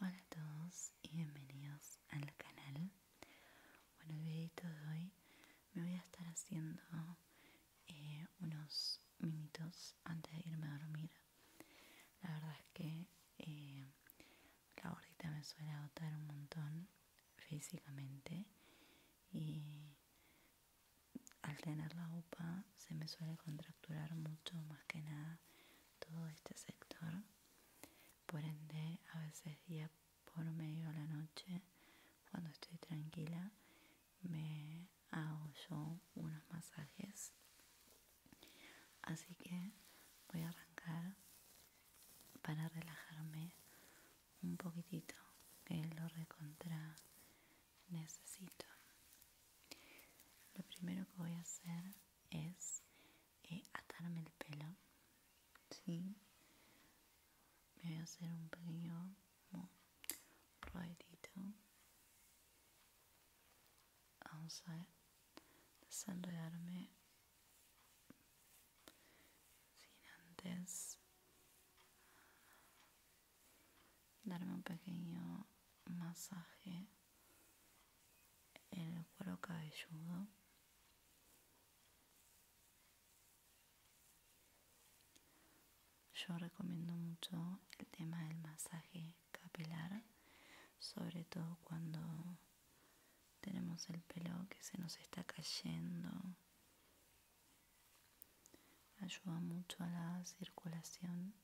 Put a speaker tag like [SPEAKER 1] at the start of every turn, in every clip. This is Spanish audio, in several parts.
[SPEAKER 1] Hola a todos y bienvenidos al canal. Bueno, el videito de hoy me voy a estar haciendo eh, unos minutos antes de irme a dormir. La verdad es que eh, la gordita me suele agotar un montón físicamente y al tener la UPA se me suele contracturar mucho más que nada todo este sector por ende a veces día por medio de la noche cuando estoy tranquila me hago yo unos masajes así que voy a arrancar para relajarme un poquitito que lo recontra necesito lo primero que voy a hacer es y eh, atarme el pelo, ¿sí? Me voy a hacer un pequeño ruedito vamos a desenredarme sin antes darme un pequeño masaje en el cuero cabelludo. Yo recomiendo mucho el tema del masaje capilar, sobre todo cuando tenemos el pelo que se nos está cayendo. Ayuda mucho a la circulación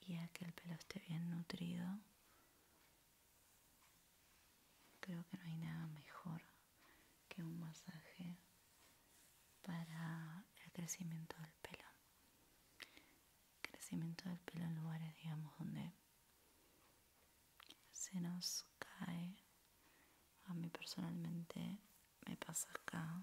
[SPEAKER 1] y a que el pelo esté bien nutrido, creo que no hay nada mejor que un masaje para el crecimiento del pelo. crecimiento del pelo en lugares, digamos, donde se nos cae. A mí personalmente me pasa acá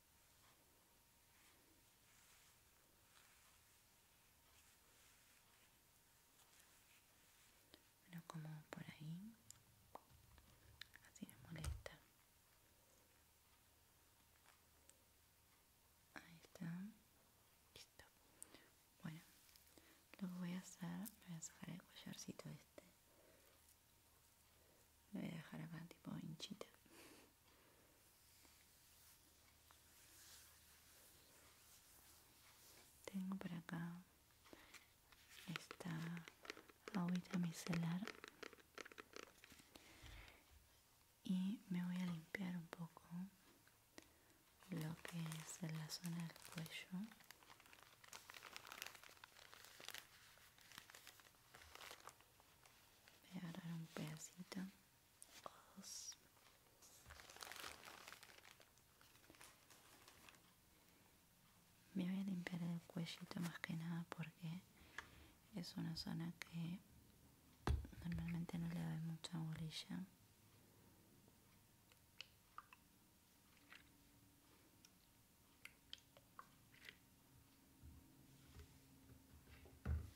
[SPEAKER 1] Bueno, como por ahí,
[SPEAKER 2] así me molesta.
[SPEAKER 1] Ahí está, listo. Bueno, lo voy a hacer, voy a sacar el collarcito este. Lo voy a dejar acá tipo hinchita. Tengo por acá esta agüita micelar y me voy a limpiar un poco lo que es en la zona del cuello voy a agarrar un pedacito dos me voy a limpiar el cuellito más que nada porque es una zona que normalmente no le da mucha bolilla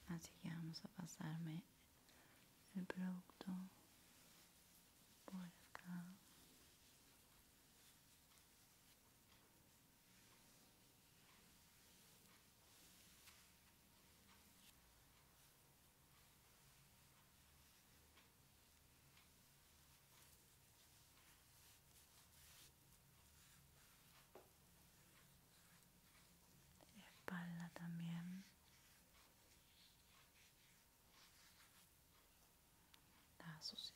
[SPEAKER 1] así que vamos a pasarme el producto
[SPEAKER 2] por acá
[SPEAKER 1] espalda también está sucia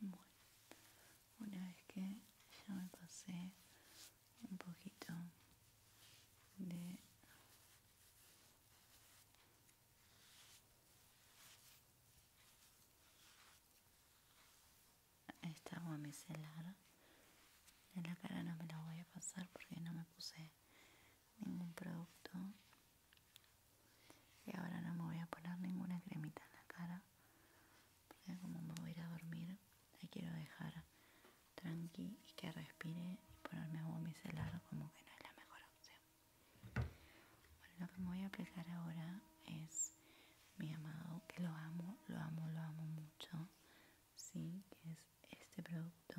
[SPEAKER 1] Bueno, una vez que ya me pasé un poquito de esta agua micelar en la cara no me la voy a pasar porque no me puse ningún producto y ahora no me voy a poner ninguna cremita en la cara porque como me voy a ir a dormir la quiero dejar tranqui y que respire y ponerme agua celular como que no es la mejor opción bueno lo que me voy a aplicar ahora es mi amado que lo amo lo amo lo amo mucho sí que es este producto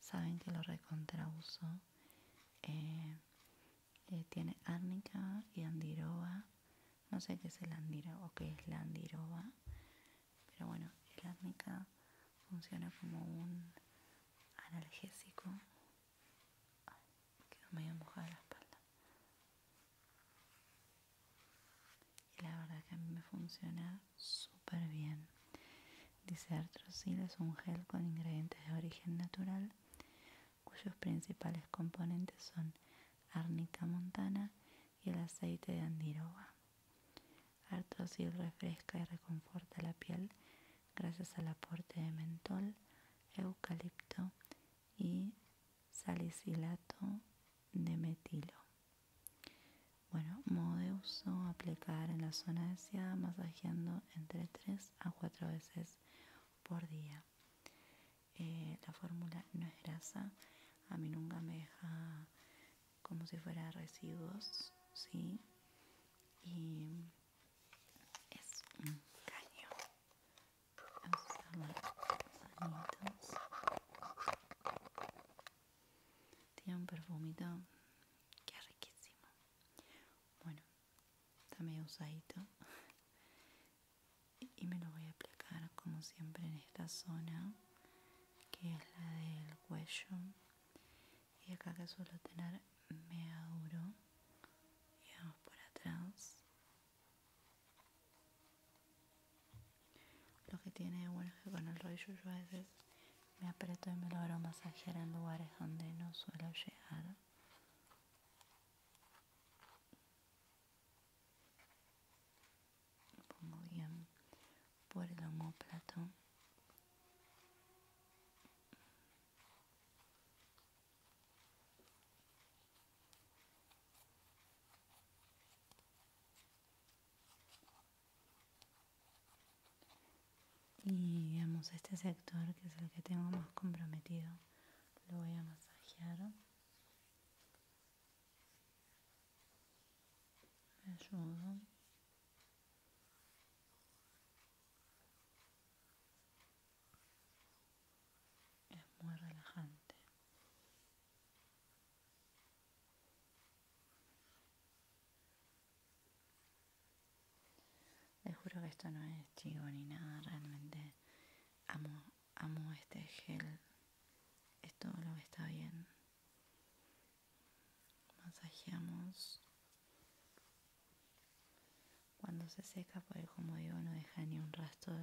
[SPEAKER 1] saben que lo recontrauso eh, eh, tiene árnica y andiroba. No sé qué es el andiroba o qué es la andiroba, pero bueno, el árnica funciona como un analgésico. no me medio mojada la espalda. Y la verdad que a mí me funciona súper bien. Dice Artrosil es un gel con ingredientes de origen natural cuyos principales componentes son arnica montana y el aceite de andiroba. Artrosil refresca y reconforta la piel gracias al aporte de mentol, eucalipto y salicilato de metilo. Bueno, modo de uso, aplicar en la zona deseada masajeando entre 3 a 4 veces por día. Eh, la fórmula no es grasa a mí nunca me deja como si fuera residuos sí y es un caño vamos a usar los tiene un perfumito que es riquísimo bueno está medio usadito y me lo voy a aplicar como siempre en esta zona que es la del cuello y acá que suelo tener me duro y vamos por atrás lo que tiene bueno es que con el rollo yo a veces me aprieto y me logro masajear en lugares donde no suelo llegar pongo bien por el homóplato y vemos este sector que es el que tengo más comprometido lo voy a masajear me ayudo es muy relajante les juro que esto no es chivo ni nada realmente amo amo este gel. Esto lo está bien. Masajeamos. Cuando se seca, porque como digo, no deja ni un rastro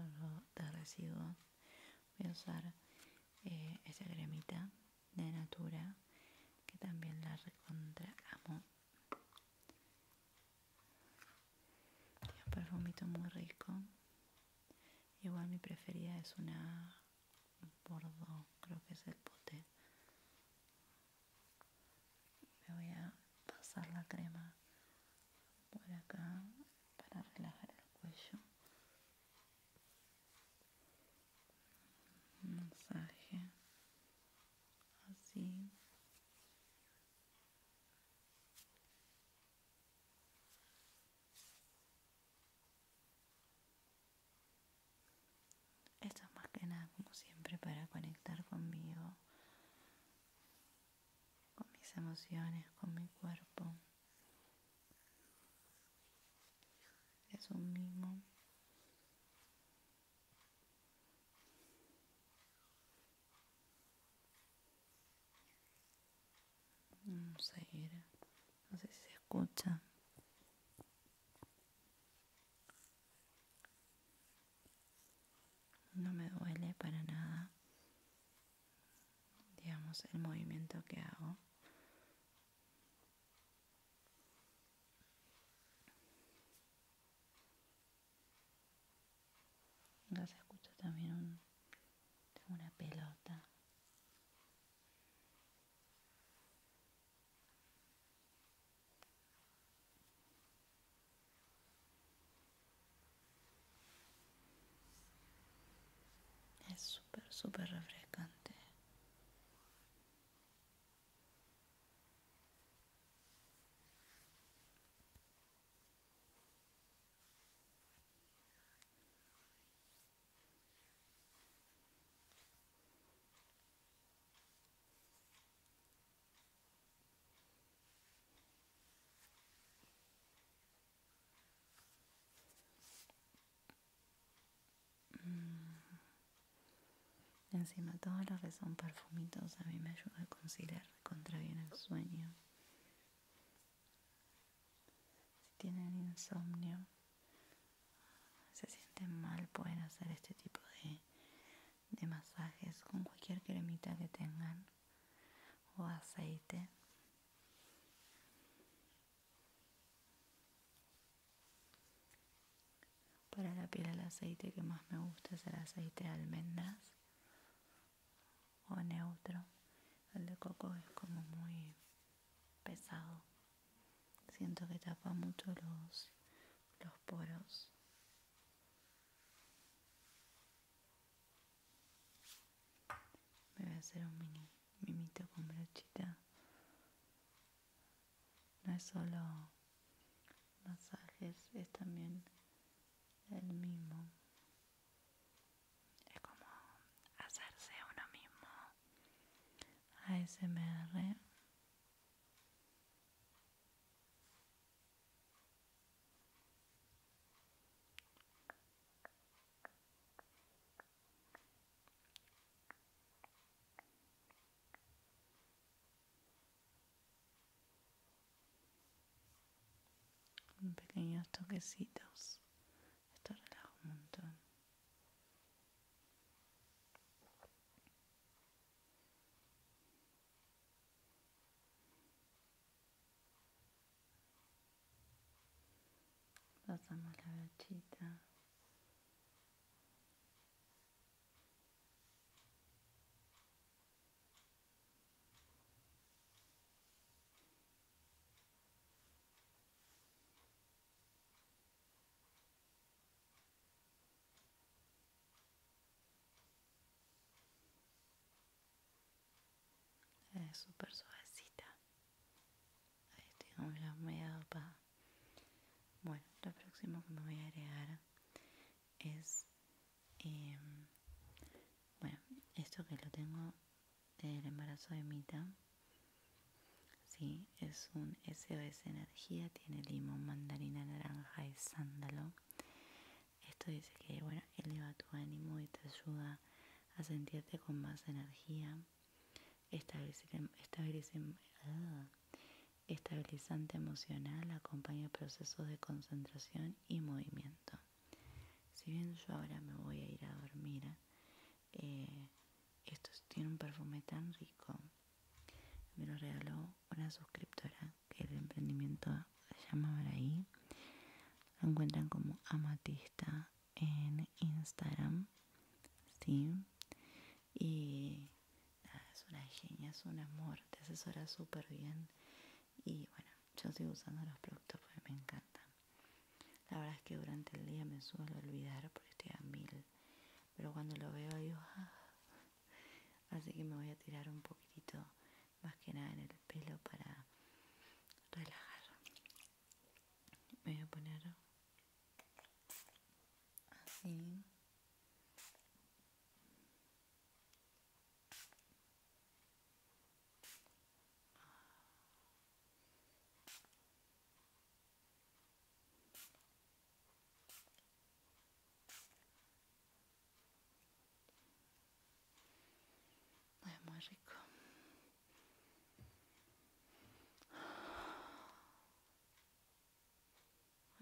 [SPEAKER 1] de residuos. Voy a usar eh, esa cremita de Natura, que también la recontra amo un perfumito muy rico. Igual mi preferida es una dos creo que es el poté Me voy a pasar la crema por acá para relajar el cuello. masaje
[SPEAKER 2] así
[SPEAKER 1] esto es más que nada como siempre para conectar conmigo, con mis emociones, con mi cuerpo. Es un mismo no sé si se escucha. No me duele para nada. Digamos el movimiento que hago. Acá se escucha también un, una pelota. Es súper, súper refrescante. Mm. Encima, todos los que son perfumitos a mí me ayuda a conciliar, bien el sueño. Si tienen insomnio, se sienten mal, pueden hacer este tipo de, de masajes con cualquier cremita que tengan o aceite. Para la piel el aceite que más me gusta es el aceite de almendras o neutro. El de coco es como muy pesado. Siento que tapa mucho los, los poros. Me voy a hacer un mini mimito con brochita. No es solo masajes, es también el mismo es como hacerse uno mismo ASMR con pequeños toquecitos. Esto relaja un montón. Pasamos la gachita es eh, súper suavecita. Ahí tengo la media dopada. Bueno, lo próximo que me voy a agregar es Em, bueno, esto que lo tengo del embarazo de Mita, sí, es un SOS Energía, tiene limón, mandarina, naranja y sándalo. Esto dice que, bueno, eleva tu ánimo y te ayuda a sentirte con más energía. Ah, estabilizante emocional acompaña procesos de concentración y movimiento. Si bien yo ahora me voy a ir a dormir, eh, esto tiene un perfume tan rico. Me lo regaló una suscriptora que el emprendimiento se llama Maraí. Lo encuentran como Amatista en Instagram. Sí. Y es una genia, es un amor, te asesora súper bien y bueno, yo sigo usando los productos porque me encantan. La verdad es que durante el día me suelo olvidar porque estoy a mil, pero cuando lo veo digo, ah". así que me voy a tirar un poquitito más que nada en el pelo para relajar. Me voy a poner así es muy rico.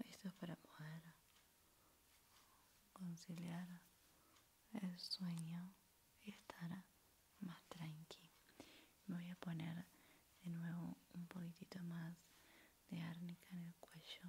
[SPEAKER 1] Esto es para poder conciliar el sueño estar más tranquilo. voy a poner de nuevo un poquitito más de árnica en el cuello.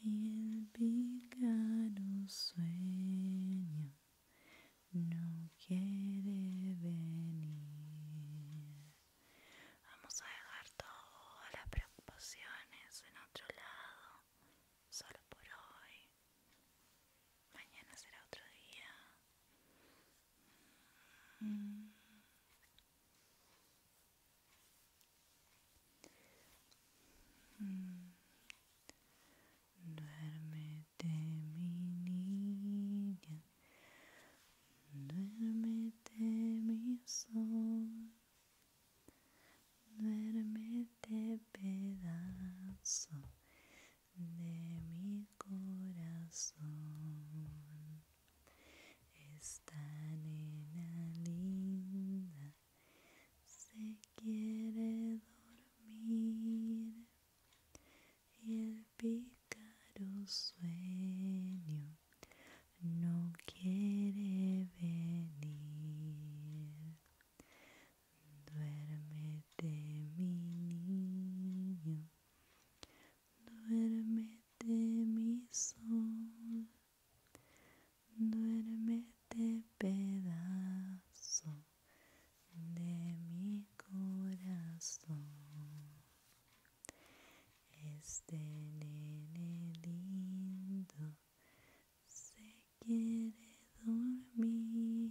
[SPEAKER 1] Y el picado sueño no quiere venir. Vamos a dejar todas las preocupaciones en otro lado, solo por hoy. Mañana será otro día.
[SPEAKER 2] Mm. Mm.
[SPEAKER 1] Duermete mi niña, duermete mi sol, duermete pedazo de mi corazón. Esta nena linda se quiere
[SPEAKER 2] dormir y el pícaro
[SPEAKER 1] sueño no quiere venir. Duérmete mi niño, Duérmete mi sol, duérmete pedazo de mi corazón. Este nene lindo se quiere dormir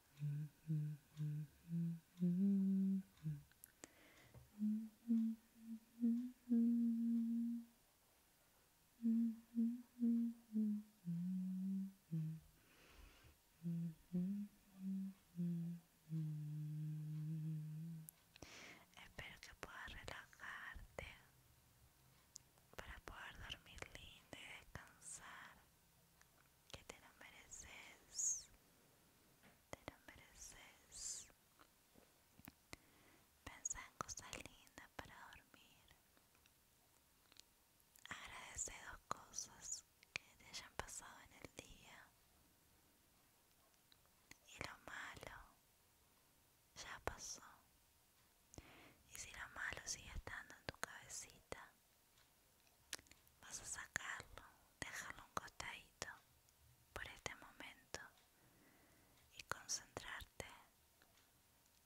[SPEAKER 2] Espero que puedas
[SPEAKER 1] relajarte para poder dormir lindo y descansar que te lo mereces, te lo mereces. Pensa en cosas lindas para dormir. Agradece dos cosas que te hayan pasado en el día. Y lo malo ya pasó. Y si lo malo sigue estando en tu cabecita, Vas a sacarlo, dejarlo un costadito por este momento y concentrarte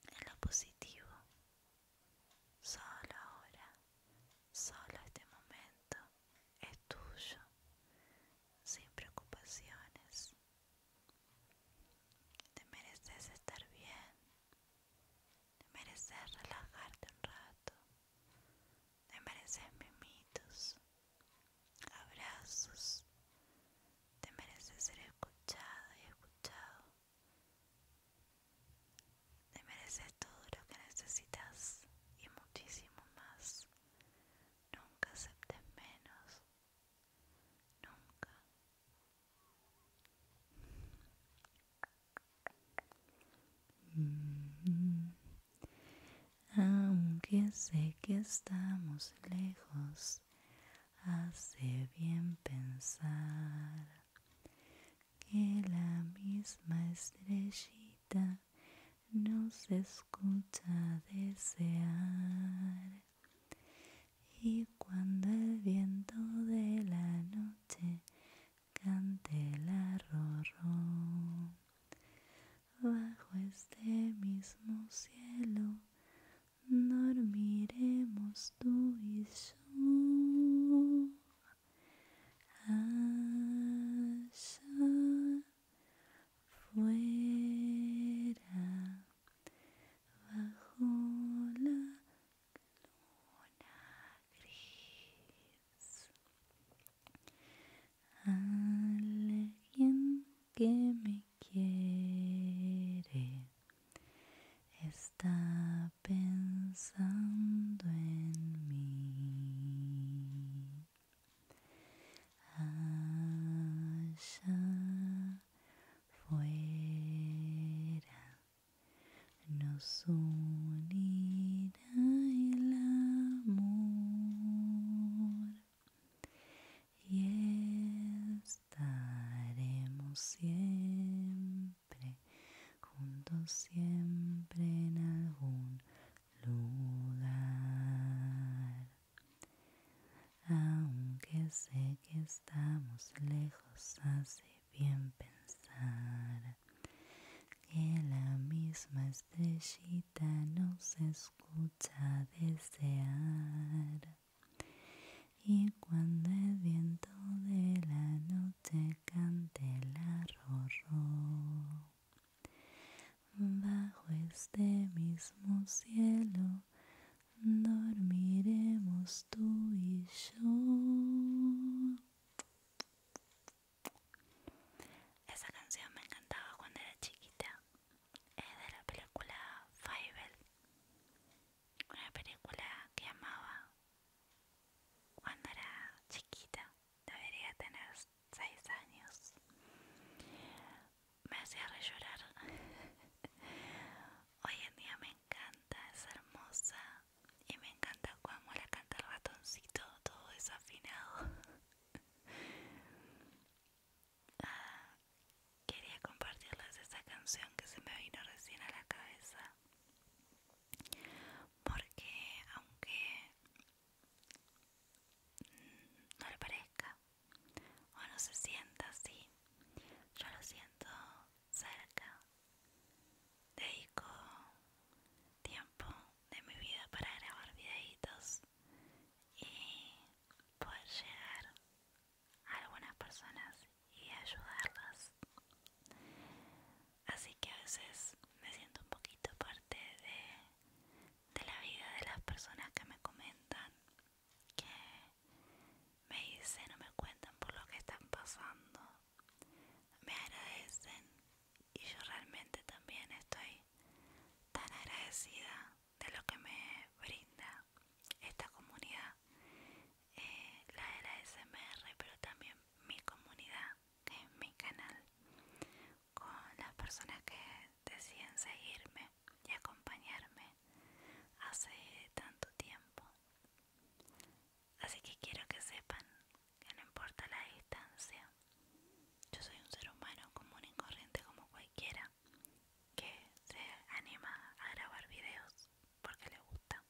[SPEAKER 1] en lo positivo. Solo ahora, solo este momento es tuyo, sin preocupaciones. Te mereces estar bien, te mereces relajarte un rato. Te mereces mimitos, abrazos. Te mereces ser escuchada y escuchado. Te mereces todo lo que necesitas y muchísimo más. Nunca aceptes menos. Nunca, Mm. Aunque sé que estamos lejos, hace bien pensar que la misma estrellita nos escucha desear y cuando el viento de la noche cante el arrorró, bajo este mismo cielo dormiremos tú y yo.
[SPEAKER 2] Allá fuera, bajo la luna
[SPEAKER 1] gris. Alguien que me quiere está pensando en
[SPEAKER 2] mí. Allá fuera
[SPEAKER 1] nos unirá el amor y estaremos siempre juntos siempre en algún lugar aunque sé que estamos lejos hace bien pensar que la misma estrellita nos escucha desear. Y cuando el viento de la noche cante el arroz. bajo este mismo cielo dormiremos tú y yo. Esa canción me encantaba cuando era chiquita. Es de la película Fievel una película que amaba cuando era chiquita. Debería tener seis años. Me hacía re llorar. Hoy en día me encanta, es hermosa y me encanta cuando la canta el ratoncito todo desafinado ah, quería compartirles esa canción que se me vino recién a la cabeza porque aunque no le parezca o no se sienta así yo lo siento cerca. Dedico tiempo de mi vida para grabar videitos y poder llegar a algunas personas y ayudarlas. Así que a veces me siento un poquito parte de, de la vida de las personas que me comentan, que me dicen o me cuentan por lo que están pasando me agradecen y yo realmente también estoy tan agradecida de lo que me brinda esta comunidad, eh, la de la SMR, pero también mi comunidad, que mi canal, con las personas que deciden seguirme y acompañarme hace tanto tiempo. Así que quiero que sepan que no importa la distancia, yo soy un ser humano común y corriente como cualquiera que se anima a grabar videos porque le gusta.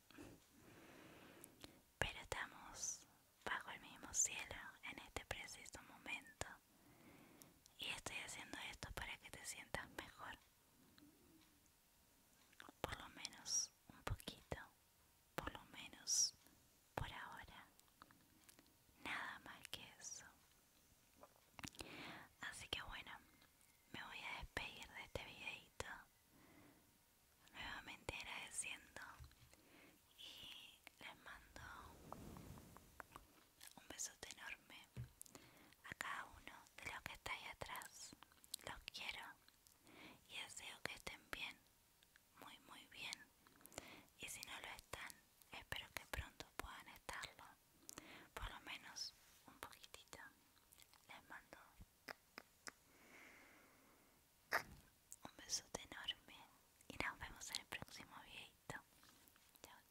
[SPEAKER 1] Pero estamos bajo el mismo cielo en este preciso momento y estoy haciendo esto para que te sientas mejor por lo menos un poquito, por lo menos por ahora, nada más que eso. Así que bueno, me voy a despedir de este videito, nuevamente agradeciendo y les mando un besote enorme a cada uno de los que está ahí atrás. Los quiero y deseo que estén bien, muy muy bien. Y si no lo están, espero que pronto puedan estarlo, por lo menos un poquitito. Les mando un besote enorme y nos vemos en el próximo videito. Chao,